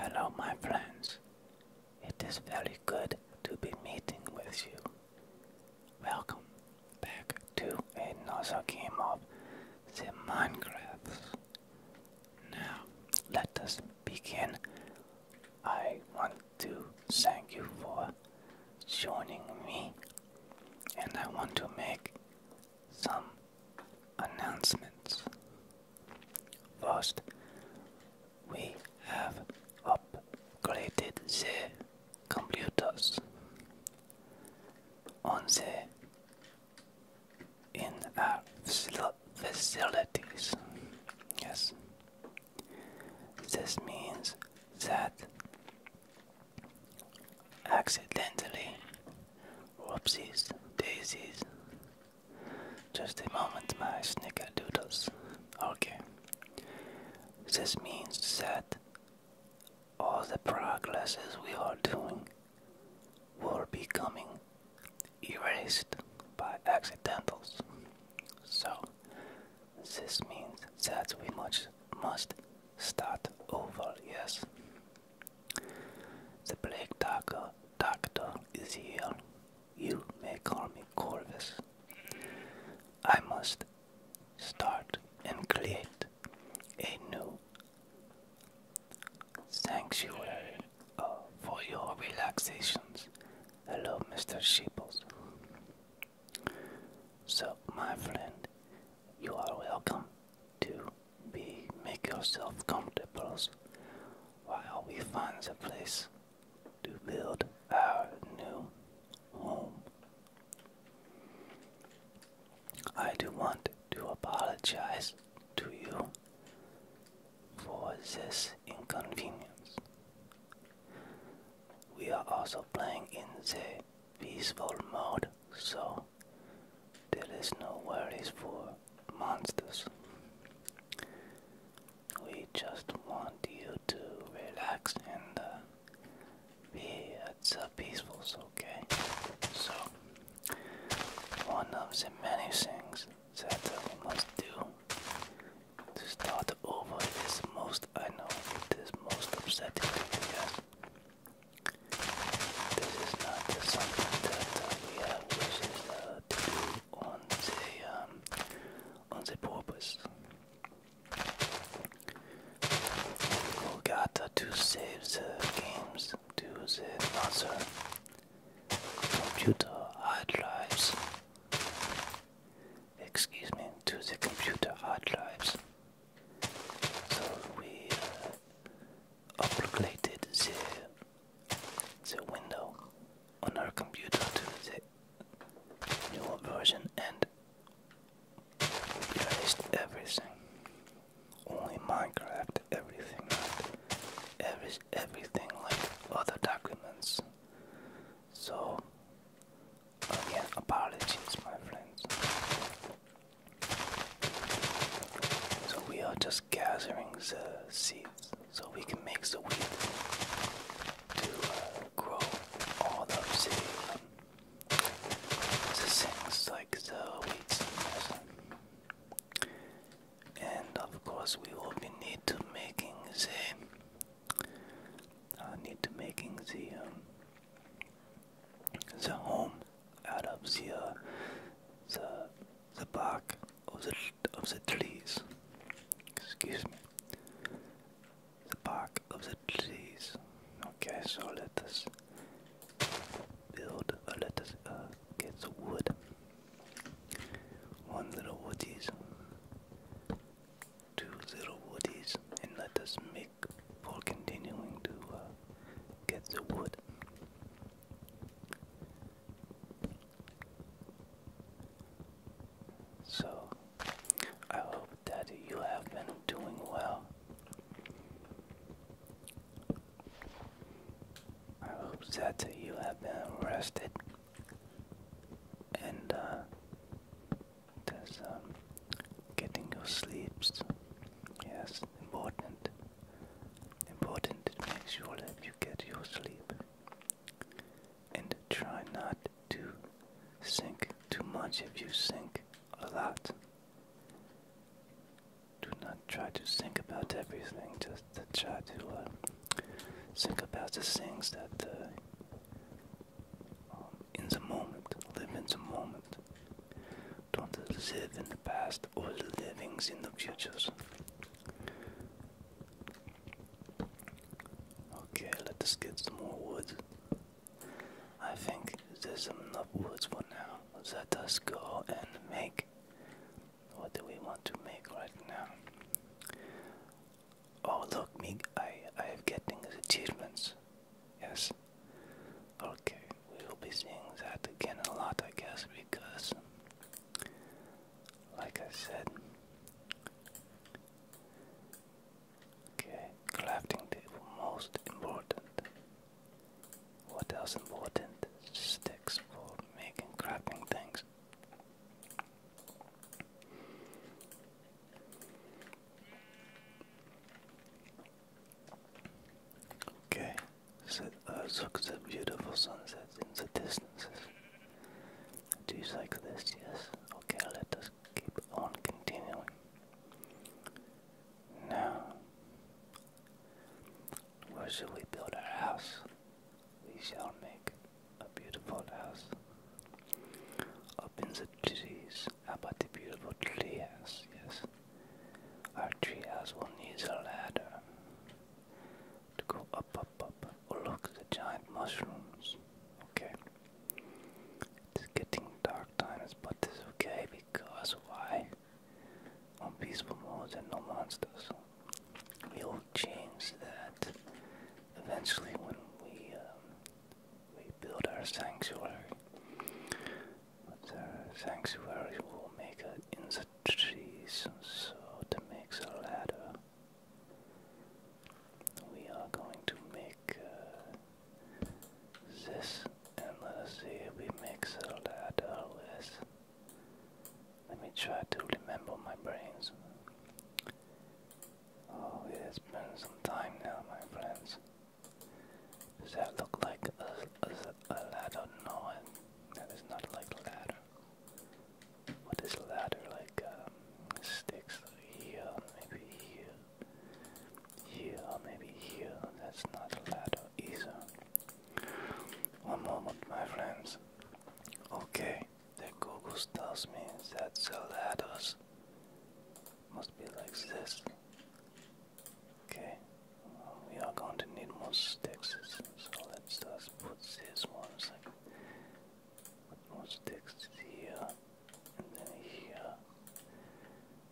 Hello, my friends. It is very good to be meeting with you. Welcome back to another game of the Minecrafts. Now, let us begin. I want to thank you for joining me, and I want to make some announcements. First, we have upgraded the computers on the in our facilities. Yes, this means that accidentally, whoopsies, daisies, just a moment, my snickerdoodles. Okay. This means that all the progresses we are doing were becoming erased by accidentals. So this means that we must must start over, yes. The black Doctor doctor is here you may call me Corvus. I must start and create a new sanctuary uh, for your relaxations. Hello, Mr. Sheeples. So, my friend, you are welcome to be make yourself comfortable while we find a place to build our new home. I do want to apologize to you for this inconvenience. We are also playing in the peaceful mode, so there is no worries for monsters. We just want you to relax and uh, be at uh, peaceful, okay? So, one of the many things that we must do to start over is most, I know, it is most upsetting to you guys. This is not the something that uh, we have wishes to on the on the purpose. to save the games to the other computer hard drives. Excuse me, to the computer hard drives. So we uh, upgraded the the window on our computer to the new version and we erased everything. Only Minecraft, everything, Every, everything like other documents. So, oh again, apologies, my friends. So, we are just gathering the seed so we can make the wheat to uh, grow all the obsidian. things like the wheat. And of course, we will be need to making the uh, need to making the um, the home out of the uh, the the block of the of the trees. Excuse me. The bark of the trees. Okay, so let us build let us uh, get the wood. One little woodies, two little woodies, and let us make for continuing to uh, get the wood. So, I hope that you have been doing well. I hope that you have been rested and uh, that's um, getting your sleeps. Yes, important. Important to make sure that you get your sleep. And try not to sink too much if you sink a lot. Do not try to think about everything, just try to uh, think about the things that uh, um, in the moment, live in the moment. Don't live in the past or the in the futures. Okay, let us get some more wood. I think there's enough wood for now. Let us go and make. What do we want to make right now? Oh look, Mig! I I am getting achievements. Yes. Okay, we will be seeing that again a lot, I guess, because like I said. Okay, crafting table, most important. What else important? Sticks for making crafting things. Okay, so, uh, at beautiful sunsets in the distances like this, yes. Okay, let us keep on continuing. Now, where shall we build our house? We shall make a beautiful house. Up in the trees, about the beautiful tree house? Yes. Our tree house will need a ladder to go up, up, up. Oh, look, the giant mushrooms. Okay. It's getting dark times, but it's okay because why? On peaceful modes and no monsters. We'll change that eventually when we um, we build our sanctuary. our sanctuary will make it in the trees, so to make a ladder. We are going to make uh, this, and let us see if we mix all that all uh, this. Let me try to remember my brains. Oh, it has been some time now, my friends. Does that look like a, ladder? No, that is not like ladder. What is ladder like? Um, sticks maybe here, here, maybe here. That's not a ladder either. One moment, my friends. Okay, the Google tells me that the ladders must be like this. Okay, we are going to need more sticks, so let's just put this ones more sticks here, and then here,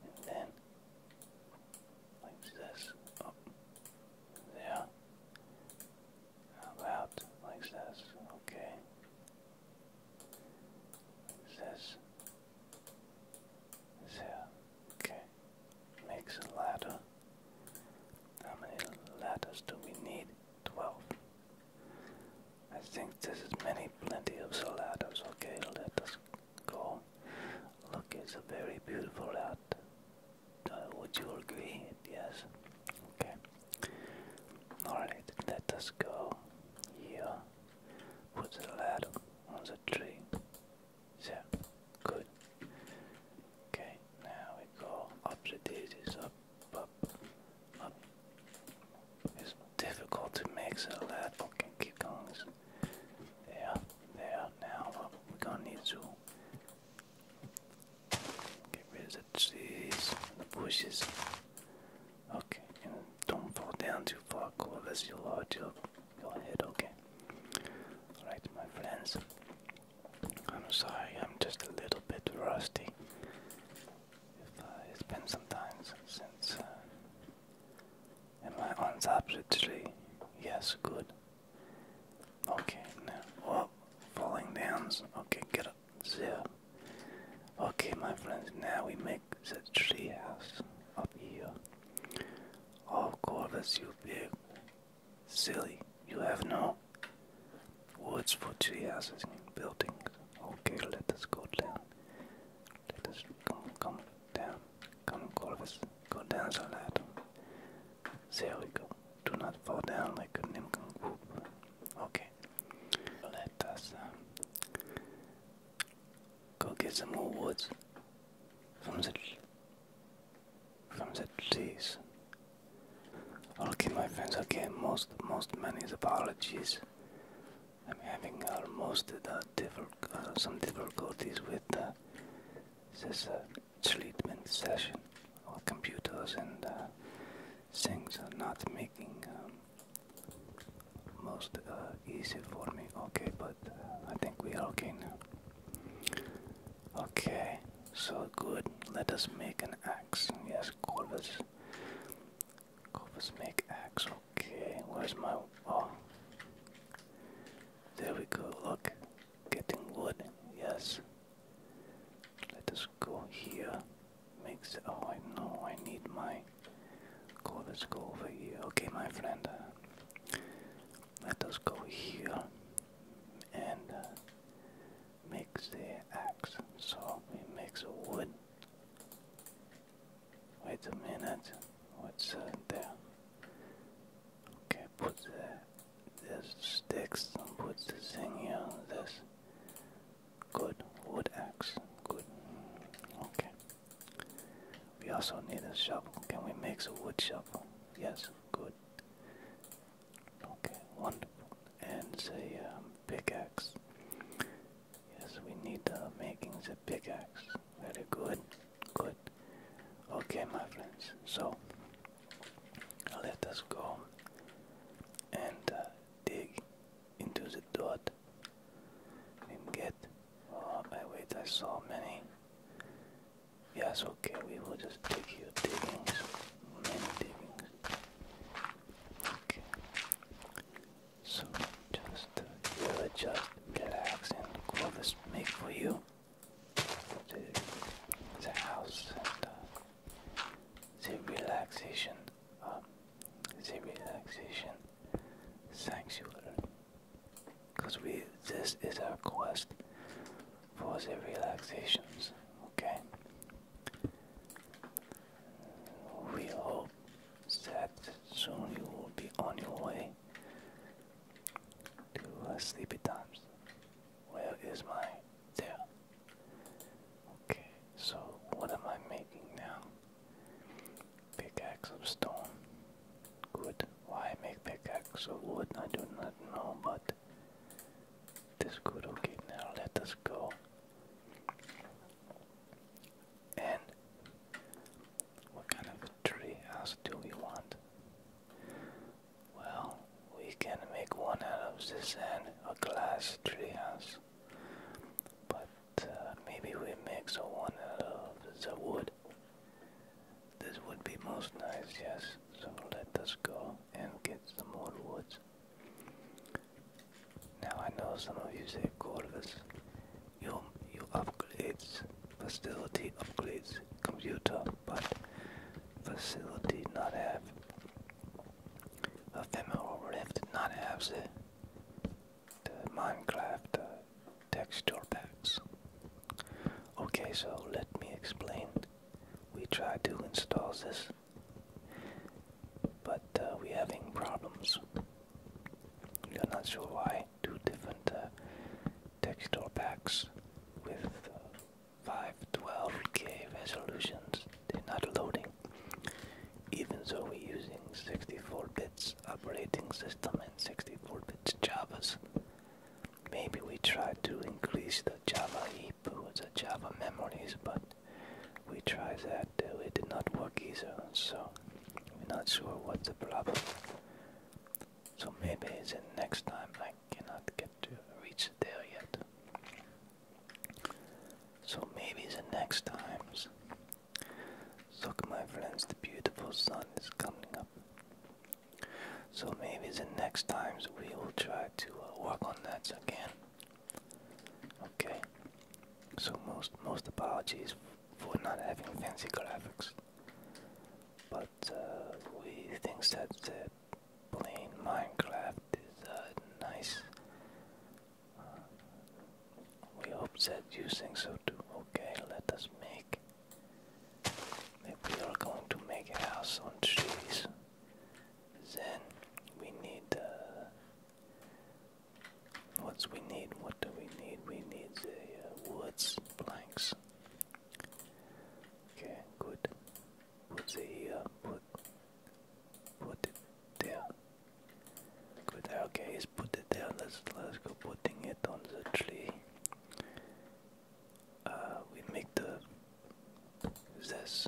and then like this, up there. about like this? Okay. this. There. Okay. Makes a ladder. How many ladders do we need? Twelve. I think there is many, plenty of ladders. Okay, let us go. Look, it's a very beautiful ladder. Uh, would you agree? Yes. Okay. Alright, let us go here. Put the ladder on the tree. There. Good. Okay, now we go up the daisies, up up, It's difficult to mix it that. Okay, keep going. There, there, now We're gonna need to get rid of the trees and the bushes. Okay, and don't fall down too far, cool. Unless you lodge your, your head, okay? Alright, my friends. I'm sorry, I'm just a little bit rusty. it's been some time since. Uh, am I on tree? Yes, good. Okay, now. Oh, falling down. Okay, get up. Zero. Okay, my friends, now we make the tree house up here. Oh, Corvus, you big silly you have no woods for two houses and buildings. Okay, let us go down. Let us come, come down. Come, Corvus. Go down so ladder. There we go. Do not fall down like a nimble group. Okay. Let us uh, go get some more woods from the from the trees. Okay, my friends. Okay, most most many apologies. I'm having almost uh, some difficulties with the uh, this uh, treatment session. Our computers and uh, things are not making um, most easy for me. Okay, but I think we are okay now. Okay. So good, let us make an axe. Yes, Corvus. Corvus make axe, okay. Where's my. Oh. There we go, look. Getting wood, yes. Let us go here. Makes. Oh, I know, I need my. Corvus, go over here. Okay, my friend. let us go here. And. Uh, makes the axe, so we makes a wood. Wait a minute, what's uh, there? Okay, put the this sticks and put the thing here. This good wood axe, good. Okay. We also need a shovel. Can we make a wood shovel? Yes, good. Okay, wonderful. And say um, pickaxe. Yes, we need the making the pickaxe. Very good, good. Okay, my friends. So let us go and uh, dig into the dirt and get. Oh, I wait. I saw many. Yes, okay, we will just dig here, diggings, many diggings. So just really uh, just relax and what this make for you. The, the house and uh, the relaxation, um, the relaxation sanctuary. Because we, this is our quest for the relaxations. Okay. We hope that soon you will be on your way to sleepy times. Where is my tail? Okay, so what am I making now? Pickaxe of stone. Good. Why make pickaxe of wood? I do not know, but this good. Okay, now let us go. And what kind of tree house do we want? Well, we can make one out of this and a glass tree house. But uh, maybe we make so one out of the wood. This would be most nice, yes. So let us go and get some more woods. Now I know some of you say Corvus, you you upgrades, facility upgrades, computer, but facility not have ephemeral rift not have the, the Minecraft uh, texture packs. Okay, so let me explain. We try to install this but uh, we're having problems. I'm not sure why. Two different uh, texture packs with uh, 512k resolutions. They're not loading. Even though we're using 64 bits operating system and 64 bits Java's. Maybe we try to increase the Java it was a Java memory, but we tried that, uh, it did not work either, so we're not sure what's the problem. So maybe it's the next time I cannot get to reach there yet. So maybe the next times. Look my friends, the beautiful sun is coming up. So maybe the next times we will try to uh, work on that again. Okay. So most most apologies for not having fancy graphics, but uh, we think that the plain Minecraft is uh, nice. Uh, we hope that you think so too. Okay, let us make. we are going to make a house on trees. Then we need uh, what's we need? What do we need? We need the uh, woods planks. Okay, good. Put the uh, put put it there. Good. Okay, let's put it there. Let's let's go putting it on the tree. Uh, we make the this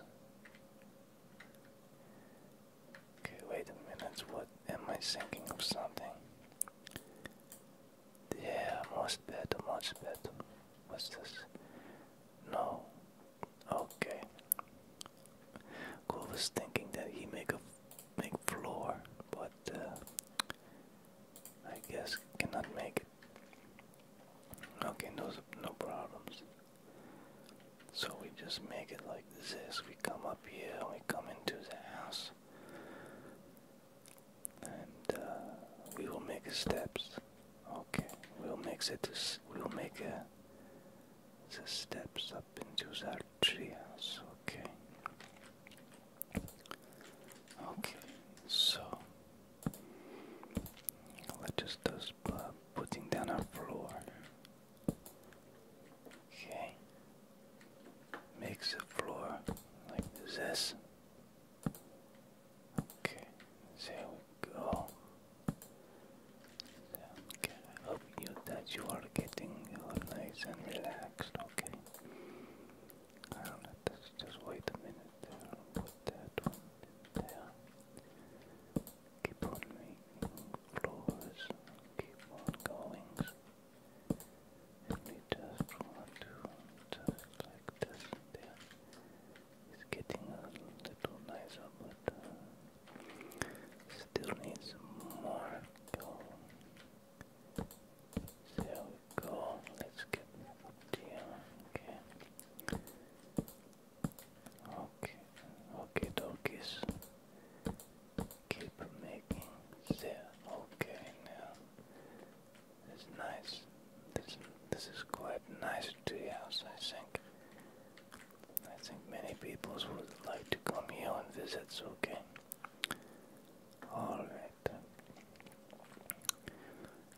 Okay, wait a minute, what am I thinking of something? Yeah, much better, much better. What's this? No. Okay. Cole was thinking that he make a make floor, but uh, I guess cannot make it. Okay, no no problems. So we just make it like this. We come up here we come into the house. And uh, we will make steps. Okay, we'll make it. We'll make uh, the steps up into that tree Okay. Okay, so let us just pop uh, putting down our floor. Okay. Makes a floor like this. Okay, there we go. Okay, I hope you that you are getting nice and relaxed, okay? I do let's just wait a minute there. Put that one there. Keep on making floors, keep on goings. If we just want to just like this, there. It's getting a little nicer, but uh, still needs more going. go. Let's get up here. Okay. Okay, okay, dokies. Keep making there. Okay, now it's nice. This this is quite nice treehouse, I think. I think many people would like to come here and visit. So okay. All right.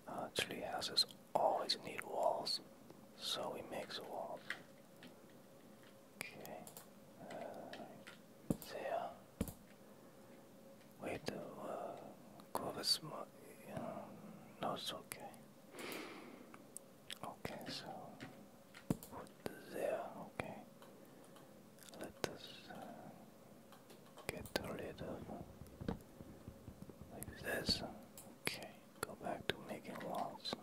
Uh, houses always need walls, so we make the walls. Okay. Uh, there. Uh, wait. a uh, go with small. Uh, no, it's okay. Okay. So put there. Okay. Let us uh, get rid of like this. Okay. Go back to making walls.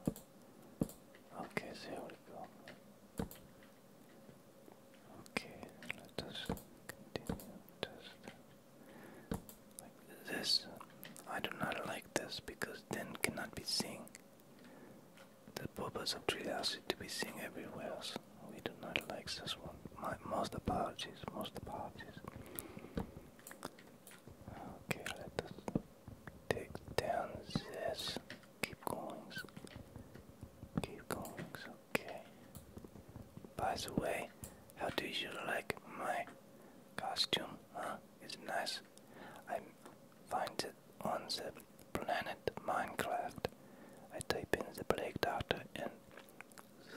Okay, there we go. Okay, let us continue just like this. I do not like this because then cannot be seen. The purpose of curiosity to be seen everywhere else. We do not like this one. most apologies, most apologies. Okay, let us take down this. Keep going. Keep going. Okay. By the way, how do you like my costume? Huh? It's nice. I find it on the planet Minecraft. I type in the Plague Doctor and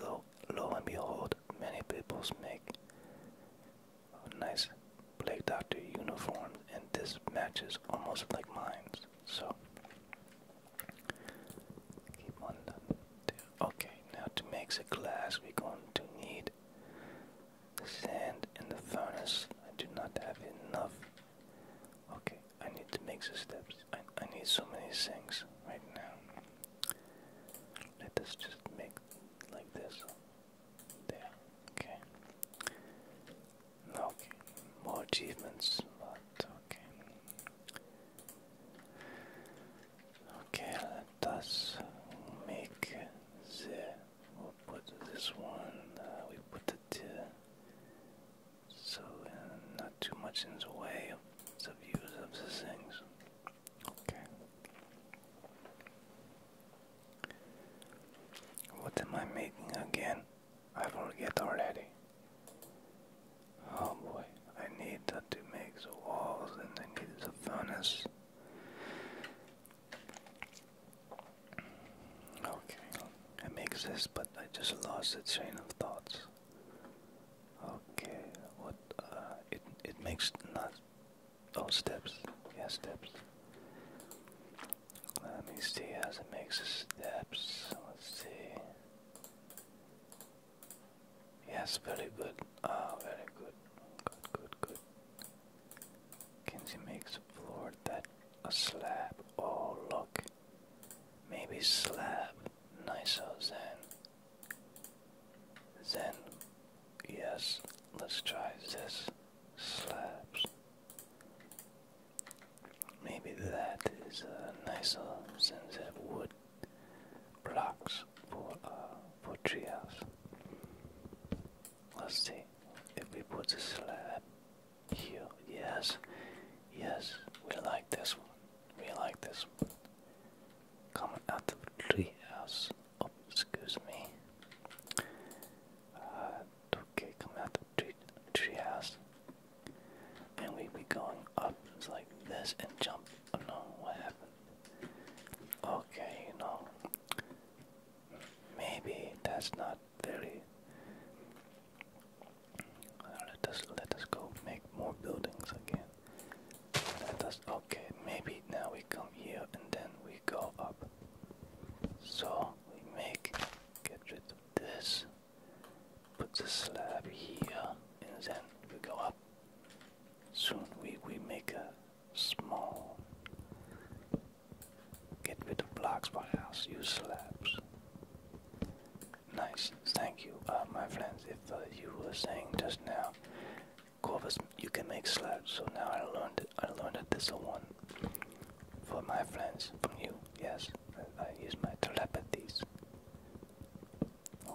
so lo and behold, many people make nice Plague Doctor uniform, and this matches almost like mine. So keep on done. Okay, now to make the glass, we're going to need the sand in the furnace. I do not have enough. Okay, I need to make the steps. I, I need so many things right now. Let us just make like this. There, okay. okay, more achievements, but okay. Okay, let us make the. we put this one, uh, we put it So, uh, not too much in the way of the views of the things. Okay. What am I making again? I forget already. Oh boy, I need to make the walls and I need the furnace. Okay, I make this, but I just lost the train of thoughts. Okay, what? Uh, it it makes not Oh, steps. Yeah, steps. Let me see as it makes the steps. Let's see. Yes, very good. Ah, very good. Good, good, good. Kinsey makes a floor that a slab. Oh, look. Maybe slab. Nice, oh than. Then, yes, let's try this slabs. Maybe that is a nice nicer sense it wood blocks for uh, for treehouse. Let's see if we put the slab here. Yes, yes, we like this one. We like this one. Coming out of treehouse excuse me. Uh, okay, coming out the tree, tree And we be going up like this and jump. Oh no, what happened? Okay, you know. Maybe that's not very. Uh, let us let us go make more buildings again. Let us. Okay, maybe now we come here and then we go up. So we make get rid of this, put the slab here, and then we go up. Soon we, we make a small get rid of blocks What house, use slabs. Nice, thank you, uh, my friends. If uh, you were saying just now Corvus, you can make slabs. So now I learned I learned that this one for my friends from you. Yes, I, use my telepathies.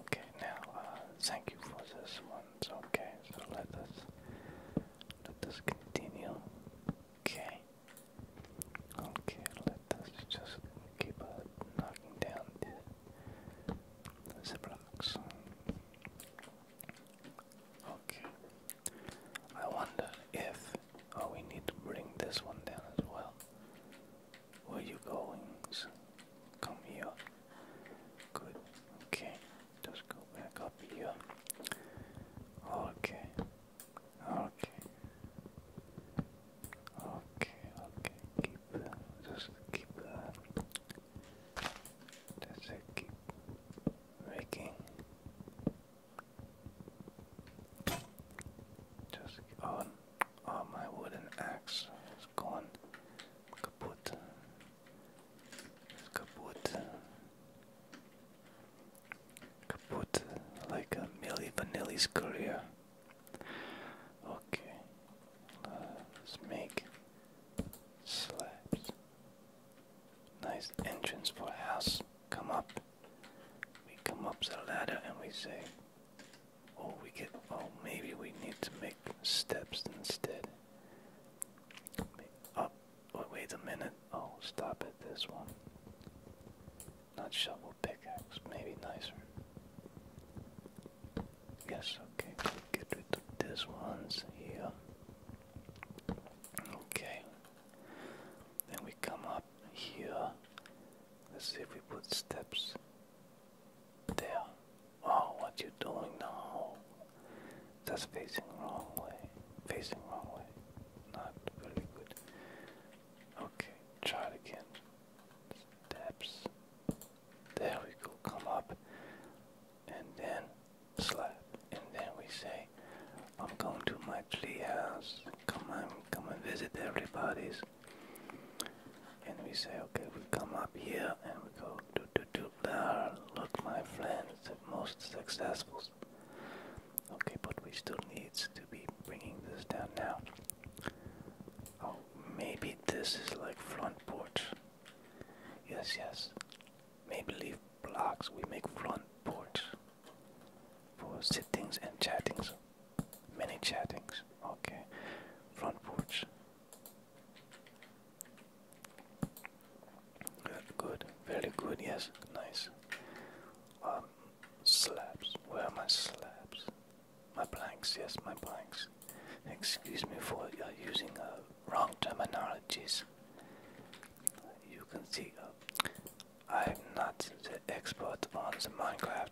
Okay, now uh, thank you for this one. okay, so let us let us continue. Okay. Okay, let us just keep on knocking down the, the blocks. Okay. I wonder if. Oh, we need to bring this one down as well. Where you going? Come here. Good. Okay. Just go back up here. Okay. Okay. Okay. Okay. Keep. Uh, just keep. Uh, does keep making? Just on. Oh, my wooden axe is gone. Kaput. kaput. Kaput. Like a Milli Vanilli's career. Okay. Let's make slabs. Nice entrance for a house. Come up. We come up the ladder and we say, Oh, we get. Oh, maybe we need to make steps instead. Up. Oh, wait a minute. Oh, stop at this one. Not shovel pickaxe. Maybe nicer. Yes, okay. Get this one's here. Okay. Then we come up here. Let's see if we put steps there. Oh, what you doing now? That's facing wrong way. Facing wrong way. Not very good. Okay, try it again. Steps. There we go. Come up and then slap, and then we say, I'm going to my tree house, come on, come and visit everybody's. And we say, okay, we come up here and we go, do, do, do, there, look my friends, the most successful. Okay, but we still needs to be bringing this down now. Oh, maybe this is like front porch. Yes, yes. Maybe leave blocks. We make front porch for sittings and chattings. Many chattings. Okay. Front porch. Good, Very good. Yes. Nice. Um, slabs. Where are my slabs? My blanks. Yes, my blanks. Excuse me for uh, using a wrong terminologies. You can see, uh, I'm not the expert on the Minecraft.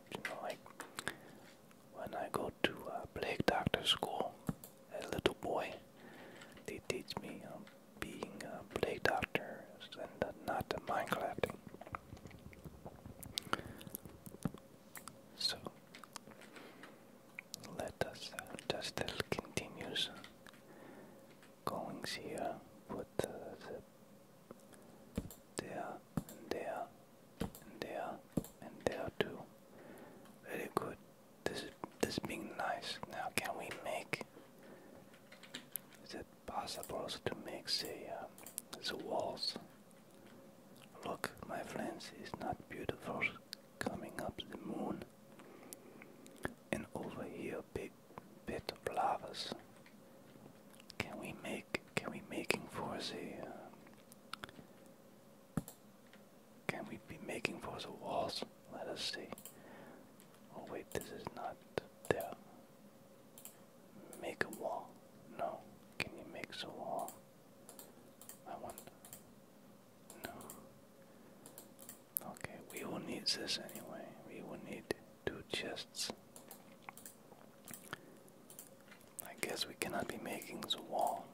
when I go to uh, Plague Doctor School, a little boy, they teach me um, being a Plague Doctor and not the Minecraft. So let us uh, just uh, continue goings here, put the there and there and there and there too. Very good. This is this being nice. Now can we make is it possible also to make say um, the walls? Look, my friends, it's not beautiful coming up the moon. And over here, big bit of lavas. Can we make? Can we making for us a? Uh, can we be making for us walls? Let us see. Oh wait, this is not there. Make a wall. No. Can you make a wall? I wonder. No. Okay, we will need this anyway. We will need two chests. I guess we cannot be making the wall.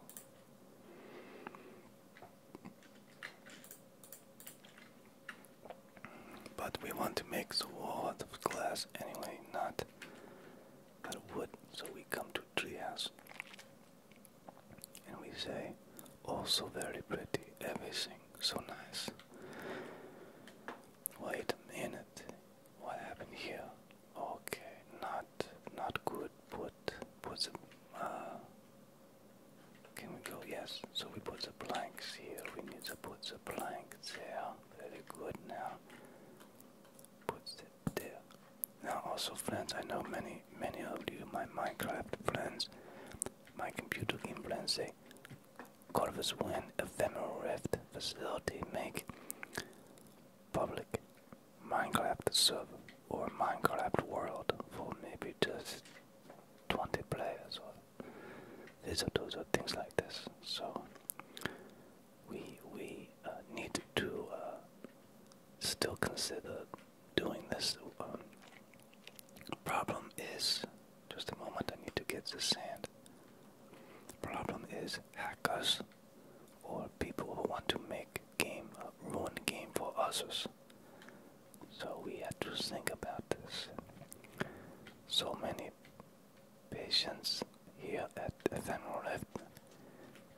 But we want to make the wall out of glass anyway, not out of wood, so we come to trees and we say also very pretty everything so nice wait a minute what happened here okay not not good put put the uh, can we go yes so we put the planks here we need to put the planks there very good now put it there now also friends i know many many of you my minecraft friends my computer influence Corvus One Ephemeral Rift facility make public Minecraft server or Minecraft world for maybe just 20 players or these or those things like this. So we we uh, need to uh, still consider doing this um, problem is just a moment I need to get the sand. Problem is hackers or people who want to make game uh, ruin game for others. So we had to think about this. So many patients here at Ephemeral Rift.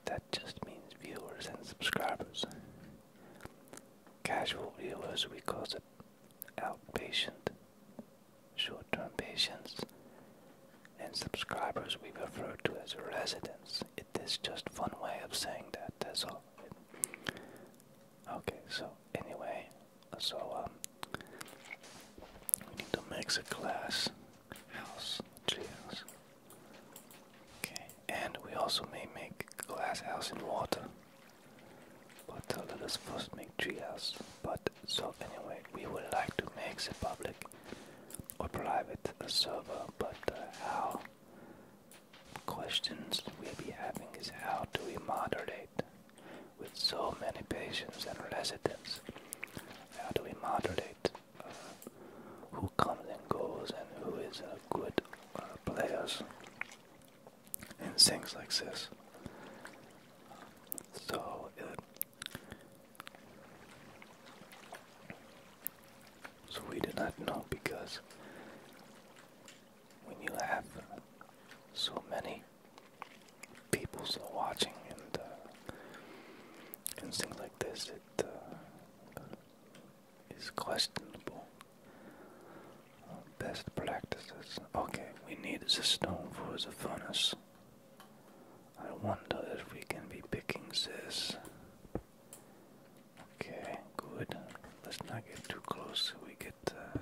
That just means viewers and subscribers. Casual viewers, we call them outpatient, short term patients, and subscribers we refer to as residents. It is just fun way of saying that, that's all. Okay, so anyway, so um, we need to make a glass house treehouse. Okay, and we also may make glass house in water. But uh, let us first make treehouse. But so anyway, we would like to make the public or private a server. But uh, how? Questions we'll be having is how do we moderate with so many patients and residents? How do we moderate uh, who comes and goes and who is a good uh, players? and sings like this. So so we do not know because when you have so many people so watching and uh, and things like this, it uh, is questionable. best practices. Okay, we need the stone for the furnace. I wonder if we can be picking this. Okay, good. Let's not get too close. We get uh,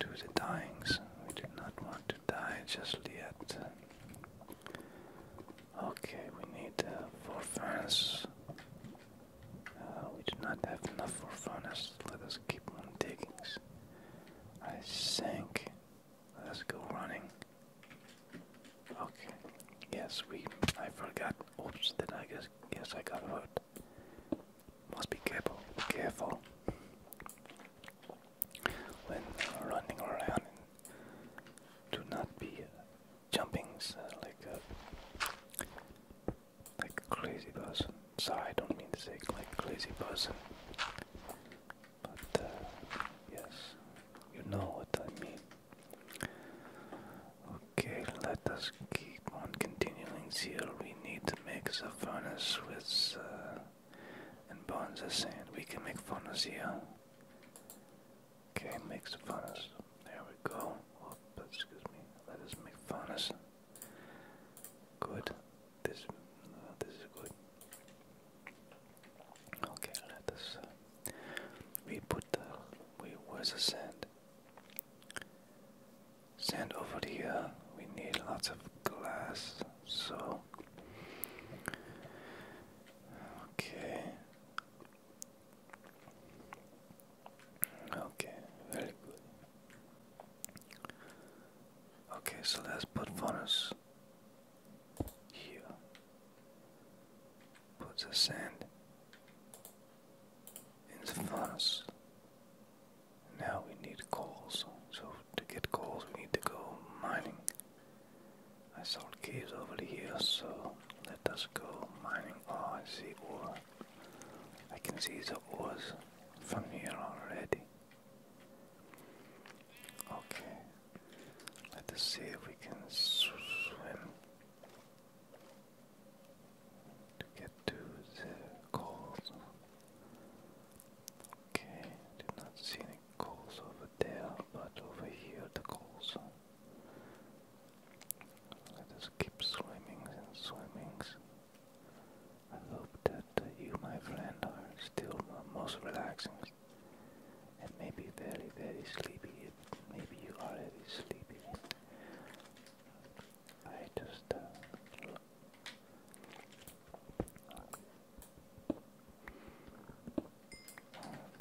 to the dyings. We do not want to die just yet. Okay, we need uh, four furnaces. Uh, we do not have enough for furnace. Let us keep on digging. I sank. Let us go running. Okay. Yes, we. I forgot. Oops. Did I guess? Yes, I got hurt. Must be careful. Careful. When uh, running around, do not be uh, jumping uh, like uh, like a crazy person. Sorry, I don't mean to say like a crazy person. But uh, yes, you know what I mean. Okay, let us keep on continuing here. We need to make the furnace with uh, and burn the sand. We can make furnace here. Okay, make the furnace. There we go. excuse me. Let us make furnace. Good. This, uh, this is good. Okay, let us. Uh, we put the. We where's the sand? Sand over here. We need lots of glass. So. Okay. Okay, very good. Okay, so let's put funnels here. Put the sand in the furnace. Now we need coals. So to get coals, we need to go mining. I saw caves over here, so let us go mining. Oh, I see ore. I can see the oars from here already. Okay, let us see if we can swim to get to the coals. Okay, did not see any coals over there, but over here the coals. Let us keep swimming and swimming. I hope that uh, you, my friend, are still most relaxing and maybe very, very sleepy. Maybe you already sleepy. I just. Uh,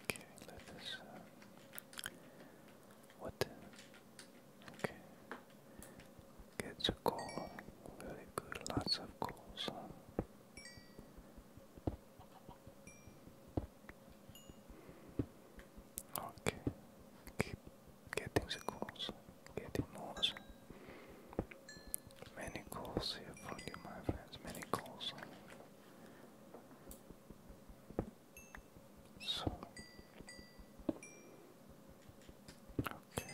okay, let us. Uh, what? Okay. Gets a coal. Very good. Lots of coals. Okay. Keep getting the coals. Getting more. Many calls here for you, my friends. Many calls. So, okay.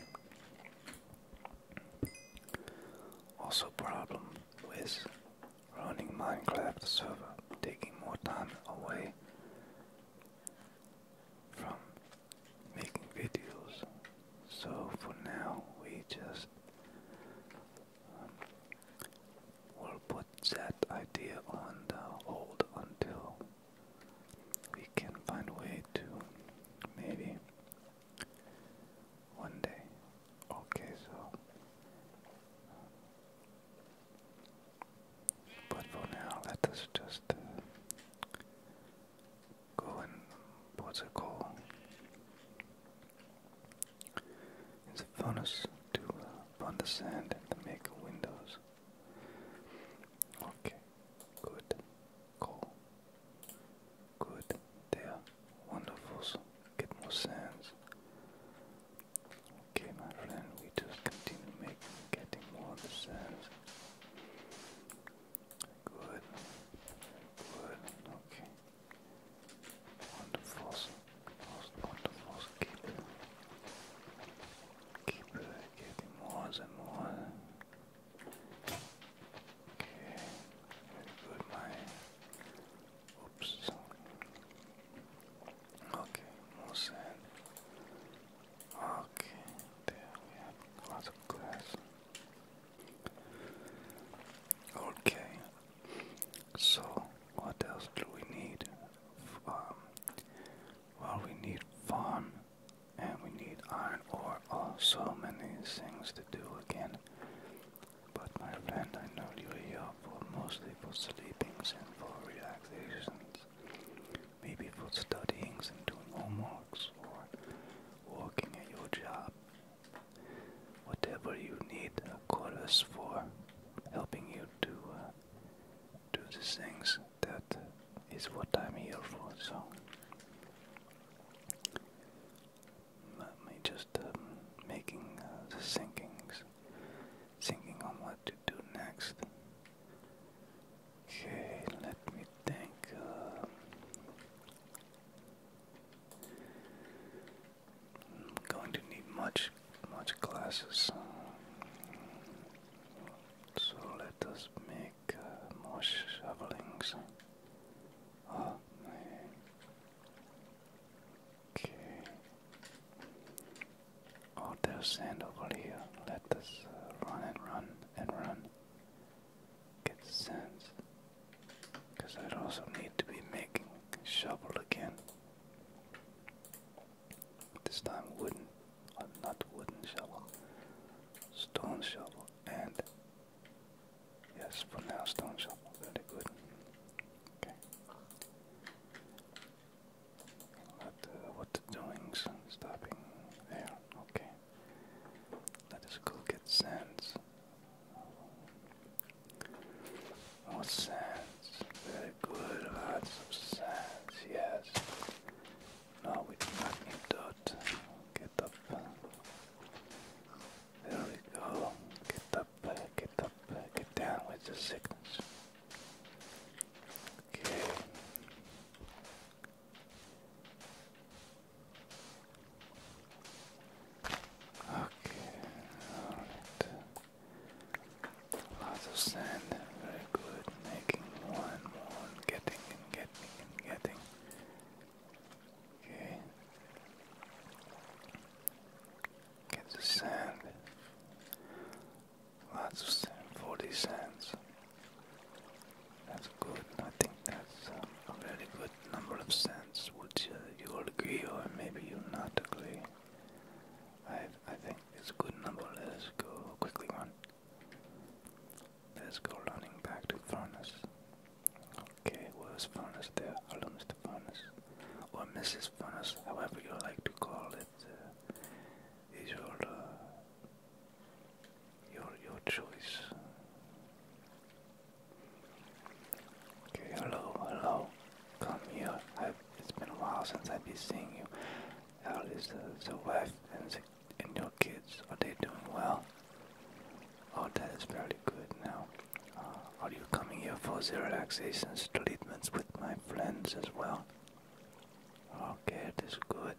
Also, problem with running Minecraft server taking more time away from making videos. So for now, we just um, will put that idea on the hold until we can find a way to maybe one day. Okay, so. But for now, let us just uh, go and what's it called? It's a furnace to uh, burn the sand and to make windows. Okay, good. Cool. Good. There. Wonderful. get more sands. Okay, my friend, we just continue making, getting more of Good. Good. Okay. Wonderful. Most wonderful. Keep Keep give more and more. Okay, very good, my. Oops. Okay, more sand. Okay, there we have lots glass. Okay, so what else do we need? Well, we need farm and we need iron ore. Oh, so many things to do again. But my friend, I know you're here for mostly for sleepings and for relaxations. Maybe for studyings and doing homeworks or working at your job. Whatever you need a chorus for helping you to uh, do these things that is what I'm here for, so let me just um, making uh, the thinkings, thinking on what to do next. Okay, let me think. Uh, going to need much, much glasses. So let us make uh, more shovelings. Oh, okay. Oh, there's sand over here. Let us uh, run and run and run. Get the sand. Because I'd also need to be making shovel again. This time wooden, uh, not wooden shovel, stone shovel, and yes, for now stone shovel. Very good. Okay. What uh, what the doings? Stopping there. Okay. Let us go get sands. More sands. Very good. Lots of sands. Yes. No, we do not need that. Get up. There we go. Get up, get up, get down with the sickness. Okay. Okay, Lots of sand. Very good. Making more more getting and getting and getting. Okay. Get the sand. Lots of Forty cents. That's good. I think that's a very good number of cents. Would you, all agree, or maybe you not agree? I I think it's a good number. Let's go quickly one. Let's go running back to Furnace. Okay, where's Furnace there? Hello, Mr. Furnace. Or Mrs. Furnace, however you like to call it, uh, is your, uh, your, your choice. Okay, hello, hello. Come here. it's been a while since I've been seeing you. How is the, the wife and and your kids, are they doing well? Oh, that is very good now. Uh, are you coming here for the relaxation treatments with my friends as well? Okay, that's good.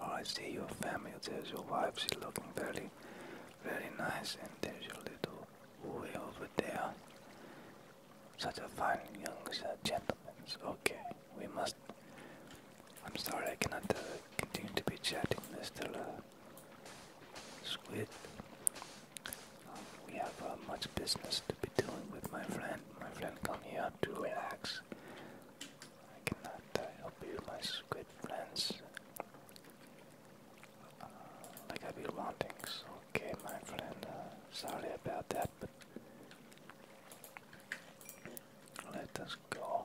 Oh, I see your family. There's your wife. She's looking very, very nice. And there's your little boy over there. Such a fine young gentleman. Okay, we must. I'm sorry I cannot uh, continue to be chatting, Mr. Squid. Um, we have uh, much business to be doing with my friend. My friend come here to relax. I cannot uh, help you, my squid friends. I uh, like I be wanting. okay, my friend. sorry about that, but let us go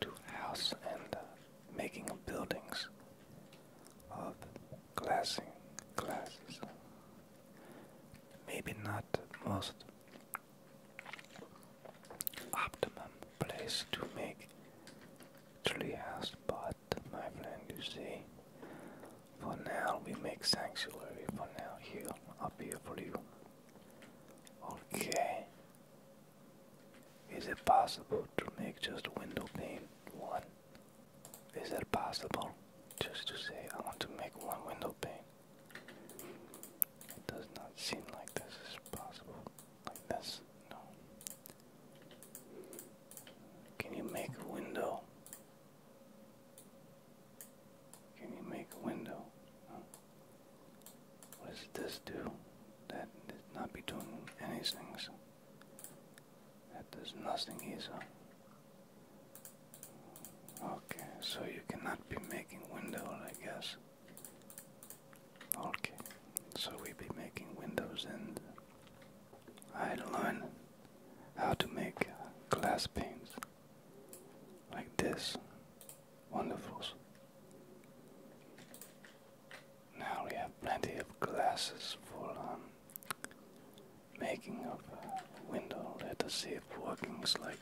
to house and making buildings of glassing glasses. Maybe not most optimum place to make treehouse, but my plan you see, for now we make sanctuary. For now, here, up here for you. Okay. Is it possible to make just window pane one? Is that possible? Just to say, I want to make one window pane. It does not seem like this is possible. Like this? No. Can you make a window can you make a window? What does this do? That did not be doing anything. So that does nothing either. Okay, so you cannot be making windows, I guess. Okay, so we be making windows, and I learn how to make glass paints like this. Wonderful. Now we have plenty of glasses for making up a window. Let us see if working's like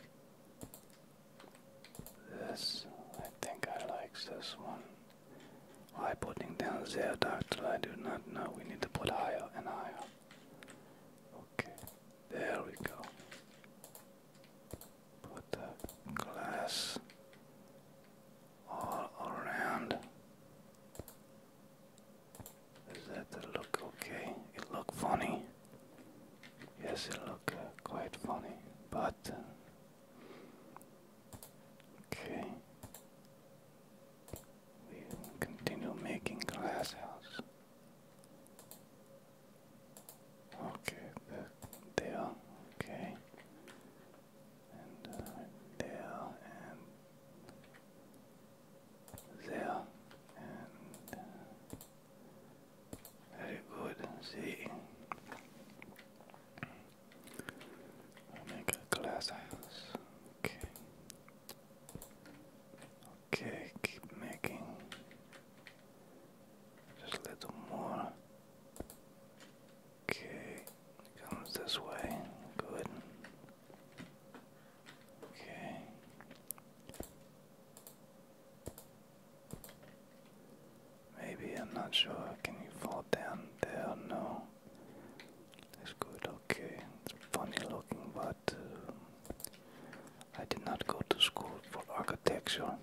this. I think I like this one. Why putting down there, doctor? I do not know. We need to put higher and higher. Okay, there we go. Put the glass all around. Does that look okay? It look funny. Yes, it look uh, quite funny, but uh, okay. We continue making glass house. Okay, the, there, okay. And uh, there, and there, and uh, very good. See, I'll make a glass house. Okay, Okay, keep making just a little more. Okay, comes this way. Good. Okay. Maybe I'm not sure. Can you fall down there? No. That's good. Okay. It's funny looking, but uh, I did not go to school for architecture. Um,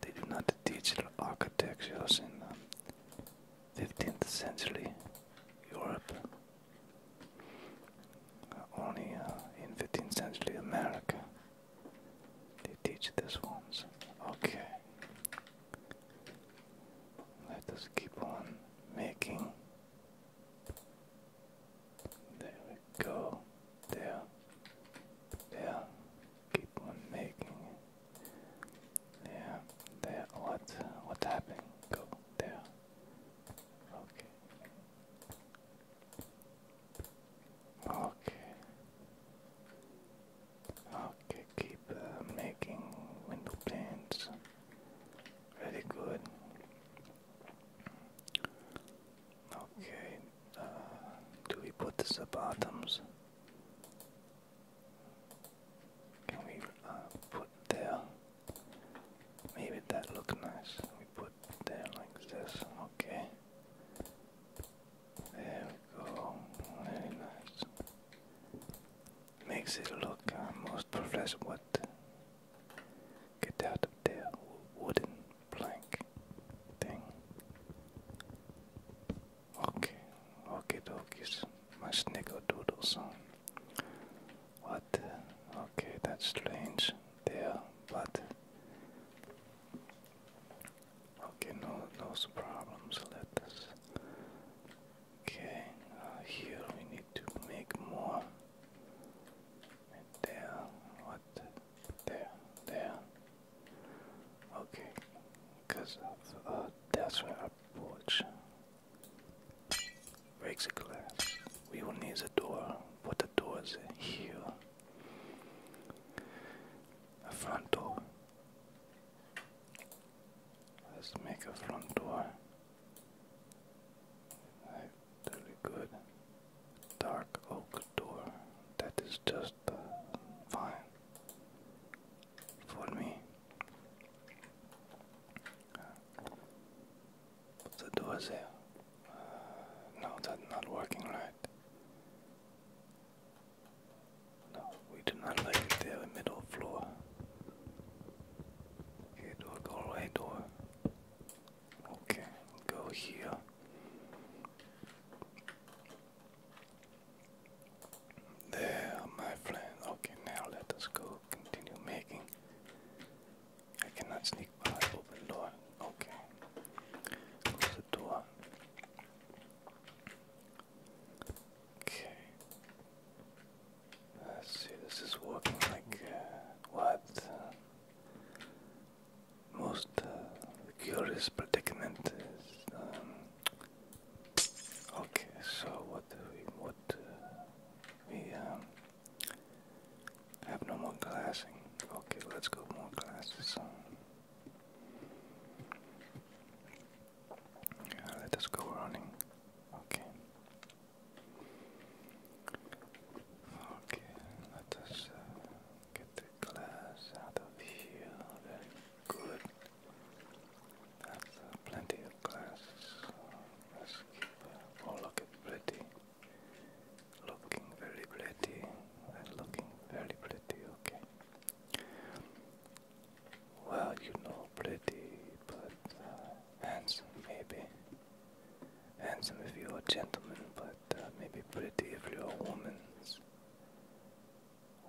they did not teach architecture in 15th um, century Europe. Uh, only uh, in 15th century America they teach this ones. Okay. Let us keep on making there we go. There. There. Keep on making There. There. What? What happened? Go there. Okay. Okay. Okay, keep uh, making window planes. Very good. Okay, uh, do we put this at bottoms? Can we uh, put there? Maybe that look nice. We put there like this. Okay. There we go. Very nice. Makes it look uh, professional. Get out of there, wooden plank thing. Okay, okay, dokies. My snickerdoodle song. What? Okay, that's strange there, but. Okay, no, no problems. Let us. Okay, uh, here we need to make more there, what, there, there. Okay, because uh, that's where I porch. Breaks a glass. We will need the door, but the door here. A front door. Let's make a front door. Really good. Dark oak door. That is just fine for me. the door there. Uh, no, that's not working right. No, we do not like there, middle floor. Okay, door, go door. Okay, go here. There, my friend. Okay, now let us go continue making. I cannot sneak by open door. Okay. Close the door. Okay. Let's see, this is working like uh, what most uh, curious predicament is. Um, okay, so what we, what, uh, we um, have no more glassing. Okay, let's go more glasses. let us go running. Okay. Okay, let us uh, get the glass out of here. Very good. That's uh, plenty of glass. Uh, oh look at pretty. Looking very pretty. they looking very pretty, okay. Well, you know, pretty, but handsome, maybe. And some of you are gentlemen, but uh, maybe pretty if you are women.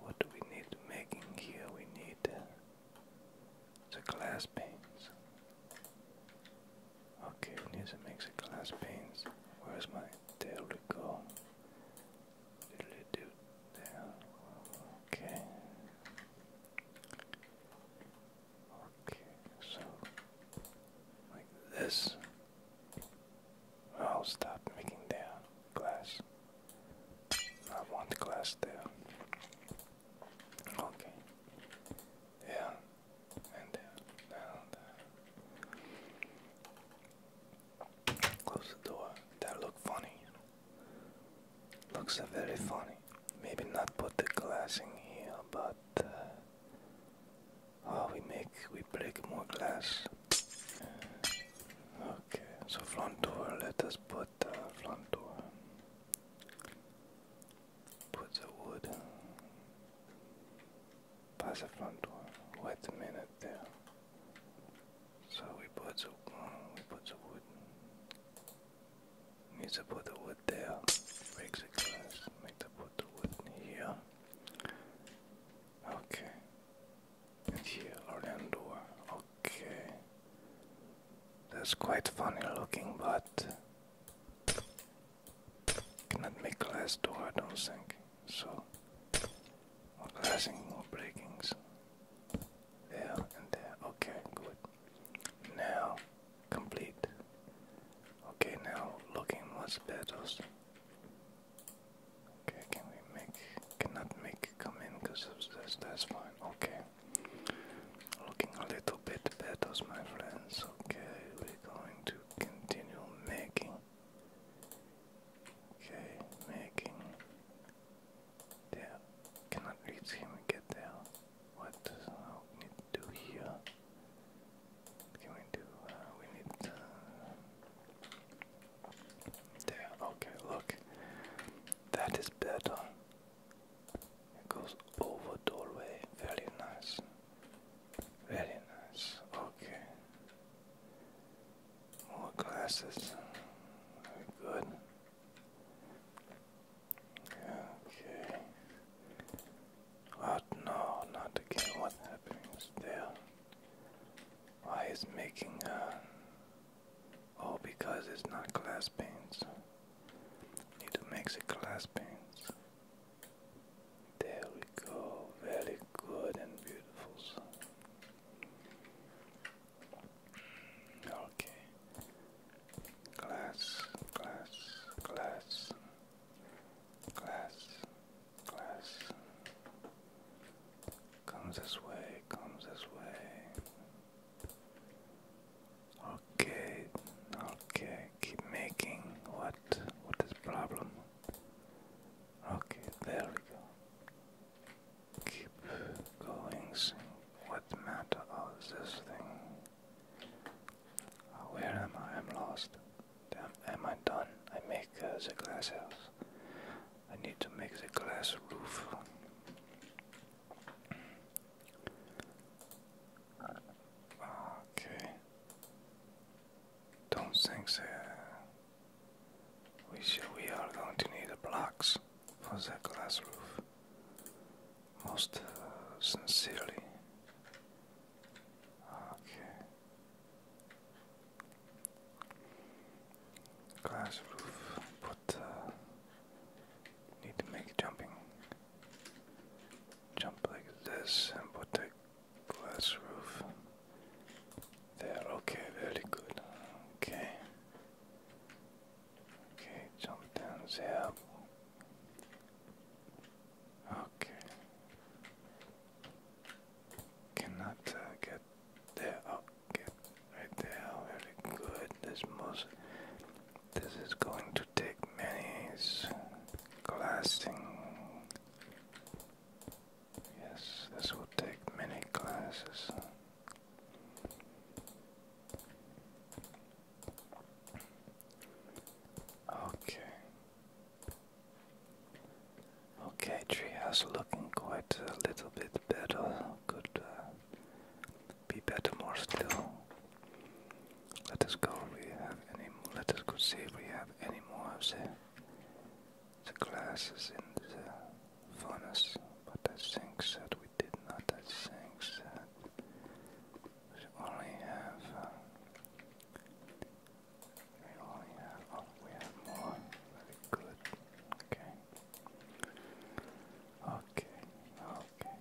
What do we need making here? We need uh, the glass panes. Okay, we need to make the glass panes. Where's my? tail we go. There. Okay. Okay, so like this. I'll stop making their glass. I want glass there. Okay. Yeah. And there. Now Close uh, the door. That look funny. Looks very funny. Maybe not put the glass in here, but uh, oh, we make we break more glass. Okay, so front door. Let us put uh, front door. Put the wood. Pass the front door. Wait a minute there. So we put the uh, we put the wood. Needs to put the wood there. Breaks the glass. Make the put the wood here. Okay. here, Orlando. Okay. That's quite funny looking, but cannot make glass door, I don't think. So, more glassing, more breakings. There and there. Okay, good. Now complete. Okay, now looking what's battles. Okay, can we make? Cannot make come in because of this. That's fine. Okay. Looking a little bit battles, my friends. Okay, we're going to continue making. Okay, making. There. Cannot reach him and get there. What does uh, we need to do here? can we do? Uh, we need. there. Okay. Look. That is better. It goes over doorway. Very nice. Very nice. Okay. More glasses. good. Okay. What? No, not again. What happens there? Why is making a. Oh, because it's not glass panes. Need to make the glass panes. There we go. Very good and beautiful. Okay. Glass, glass, glass glass, glass. Comes this way, comes this way. Okay, okay, keep making. What? What is problem? Okay, there we go. Keep going. What matter of this thing? Where am I? I'm lost. Damn, am I done? I make uh, the glass house. I need to make the glass roof. Okay. Don't think that we we are going to need the blocks for the glass roof. Most uh, sincerely, Okay. Glass roof, but uh, need to make jumping. Jump like this and put the glass roof there. Okay, very good. Okay. Okay, jump down there. Okay. Cannot uh, get there. Oh, right there. Very good. This most. This is going to take many glassing. Yes, this will take many classes. Okay. Okay, treehouse looking quite a little bit better. Could uh, be better more still. Let us go. we have any. Let us go see if we have any more of the the glasses in the furnace. But I think that we did not. I think that we only have. Uh, we only oh, we have more. Very good. Okay. Okay. Okay.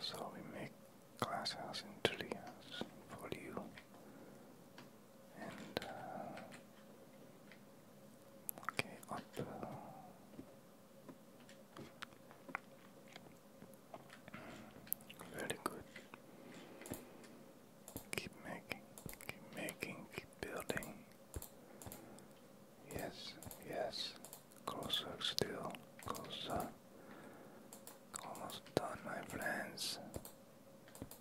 So we make glass house and tree house for you. And, uh, okay, up. Uh, very good. Keep making, keep making, keep building. Yes, yes. Closer still, closer. Almost done, my friends.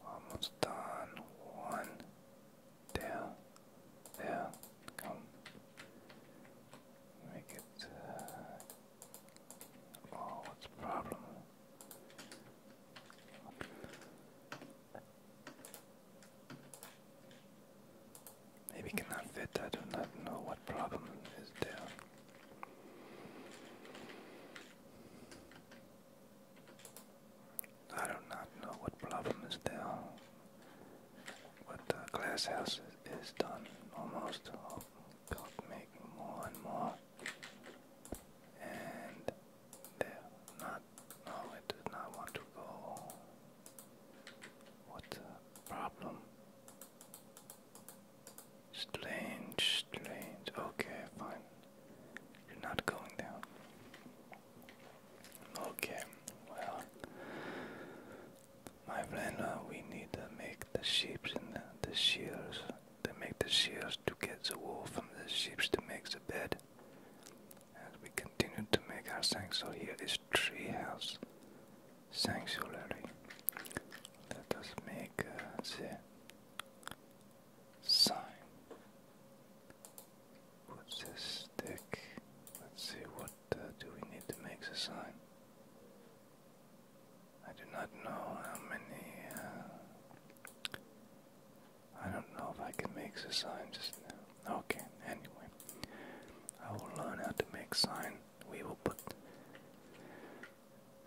Almost done. One. There. Yeah, come. Make it. oh, what's the problem? Maybe cannot fit. I do not know what problem is there. I do not know what problem is there what the glass house is, done almost. Oh, make more and more. And there, not, no, it does not want to go. What problem. Strange, strange. Okay, fine. You're not going down. Okay, well, my friend, uh, we need to make the sheep and the, the shears. To make the shears to get the wool from the sheep to make the bed. And we continue to make our sanctuary, here is treehouse sanctuary. Let us make a uh, sign. What's this stick? Let's see what uh, do we need to make the sign? I do not know how many. Uh, I don't know if I can make the sign just now. Okay, anyway. I will learn how to make sign. We will put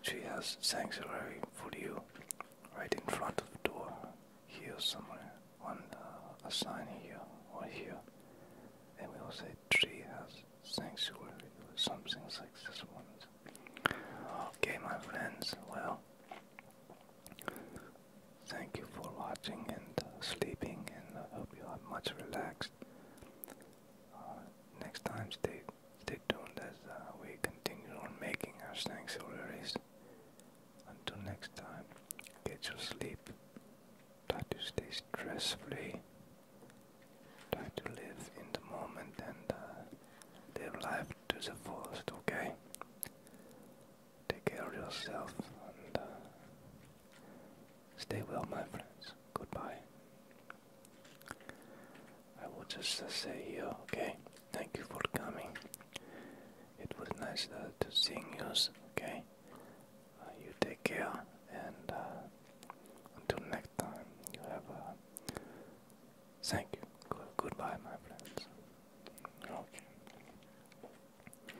She has sanctuary for you right in front of the door here somewhere on uh, a sign here or here and we will say a sanctuary or something like this one. Okay, my friends, well, thank you for watching and uh, sleeping, and I hope you are much relaxed. Uh, next time, stay stay tuned as uh, we continue on making our sanctuaries. Until next time, get your sleep. Try to stay stress free. Try to live in the moment and uh, live life to the fullest, okay? Take care of yourself and uh, stay well, my friends. Goodbye. I will just uh, say here, okay? Thank you for coming. It was nice to see you, okay? Uh, you take care, and uh, until next time, you have thank you. goodbye, my friends. Okay.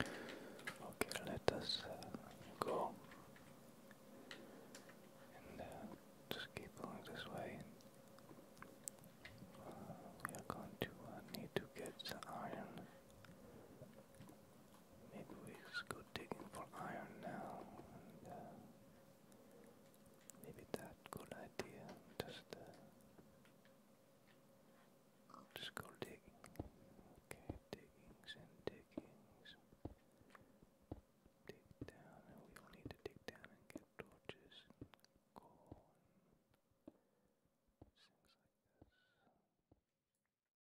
Okay, let us uh, go. And just keep going this way. we are going to need to get iron Maybe we should go digging for iron now. And, uh, maybe good idea. Just, uh, just go digging. Okay, diggings and diggings. Dig down, and we all need to dig down and get torches and coal and things like this.